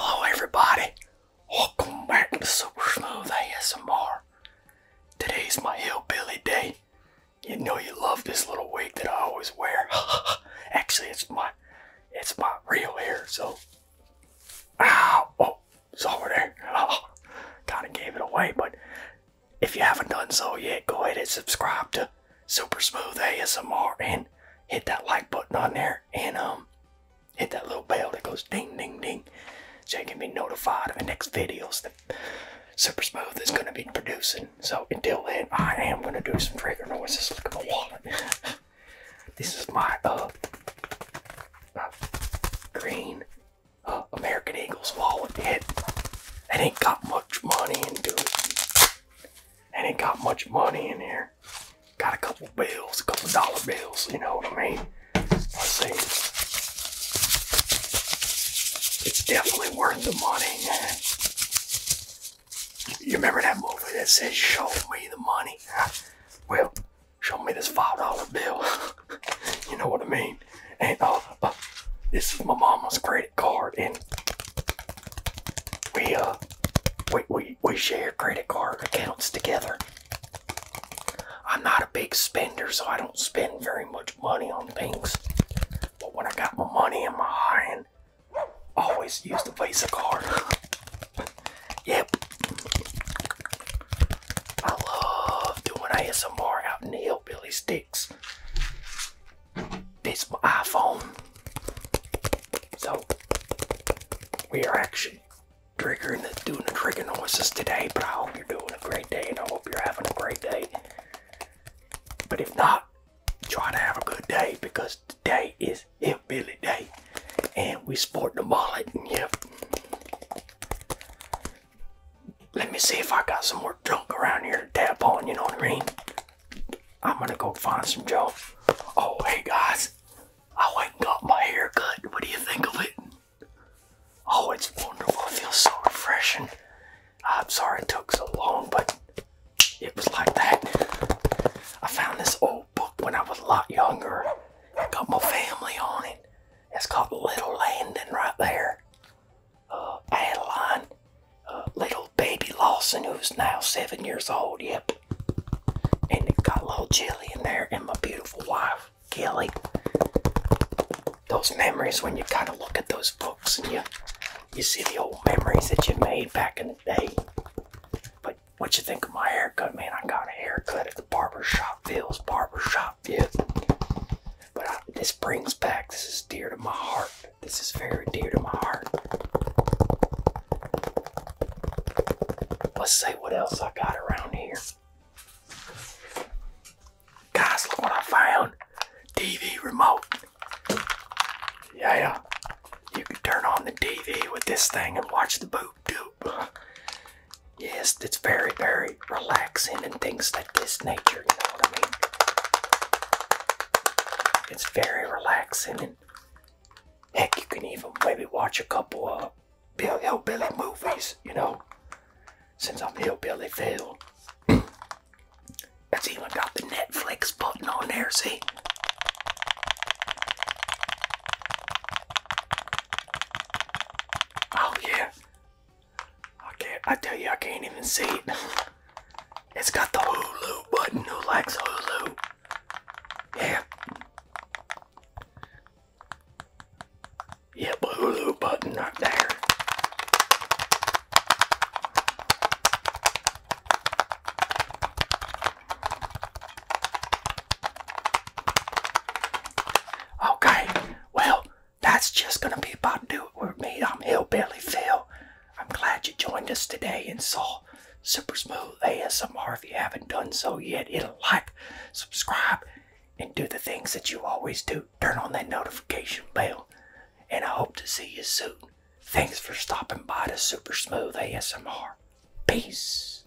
Hello everybody, welcome back to Super Smooth ASMR. Today's my hillbilly day. You know you love this little wig that I always wear. Actually, it's my, it's my real hair. So, ow, oh, it's over there. kind of gave it away, but if you haven't done so yet, go ahead and subscribe to Super Smooth ASMR and hit that like button on there and um hit that little bell that goes ding ding ding so you can be notified of the next videos that Super Smooth is gonna be producing. So until then I am gonna do some trigger noises. Look at my wallet. this is my uh, uh green uh, American Eagles wallet. It, it ain't got much money into it ain't got much money in here. Got a couple bills, a couple dollar bills, you know what I mean? Let's see. It's definitely worth the money. You remember that movie that says, Show me the money? Well, show me this $5 bill. you know what I mean? And uh, uh, this is my mama's credit card, and we uh we we we share credit card accounts together. I'm not a big spender, so I don't spend very much money on things. But when I got my money in my hand, I always use the Visa card. yep. I love doing ASMR out in the hillbilly sticks this iPhone. So we are actually triggering the doing the trigger noises today, but I hope you're doing a great day and I hope you're having a great day. But if not, try to have a good day because today is hillbilly day. And we sport the mullet yep. Let me see if I got some more more around here tap on, you know what I mean? I'm gonna go find some Joe. Oh, hey guys, I went up my hair good. What do you think of it? Oh, it's wonderful. It feels so refreshing. I'm sorry it took so long, but it was like that. I found this old book when I was a lot younger. I got my family on it. It's called Little Landing right there. Uh, Adeline, uh, little baby Lawson, who's now seven years old, yep. And it got little Jilly in there and my beautiful wife, Kelly. Those memories when you kind of look at those books and you, you see the old memories that you made back in the day. But what you think of my haircut, man? I got a haircut at the barber shop, Phil's barber shop, yeah. But this brings back, this is dear to my heart. This is very dear to my heart. Let's see what else I got around here. Guys, look what I found. TV remote. Yeah, you can turn on the TV with this thing and watch the Boop doop. Yes, it's very, very relaxing and things like this nature, you know what I mean? It's very relaxing and heck, you can even maybe watch a couple of Bill Hillbilly movies, you know? Since I'm Hillbilly Phil. It's even got the Netflix button on there, see? Oh yeah, I can't. I tell you, I can't even see it. It's got the Hulu button. Who likes Hulu? Yeah. Yep, yeah, Hulu button right there. Okay, well, that's just gonna be about do it with me. I'm Hillbilly Phil. I'm glad you joined us today and saw Super Smooth ASMR. If you haven't done so yet, hit a like, subscribe, and do the things that you always do. Turn on that notification bell, and I hope to see you soon. Thanks for stopping by to Super Smooth ASMR. Peace.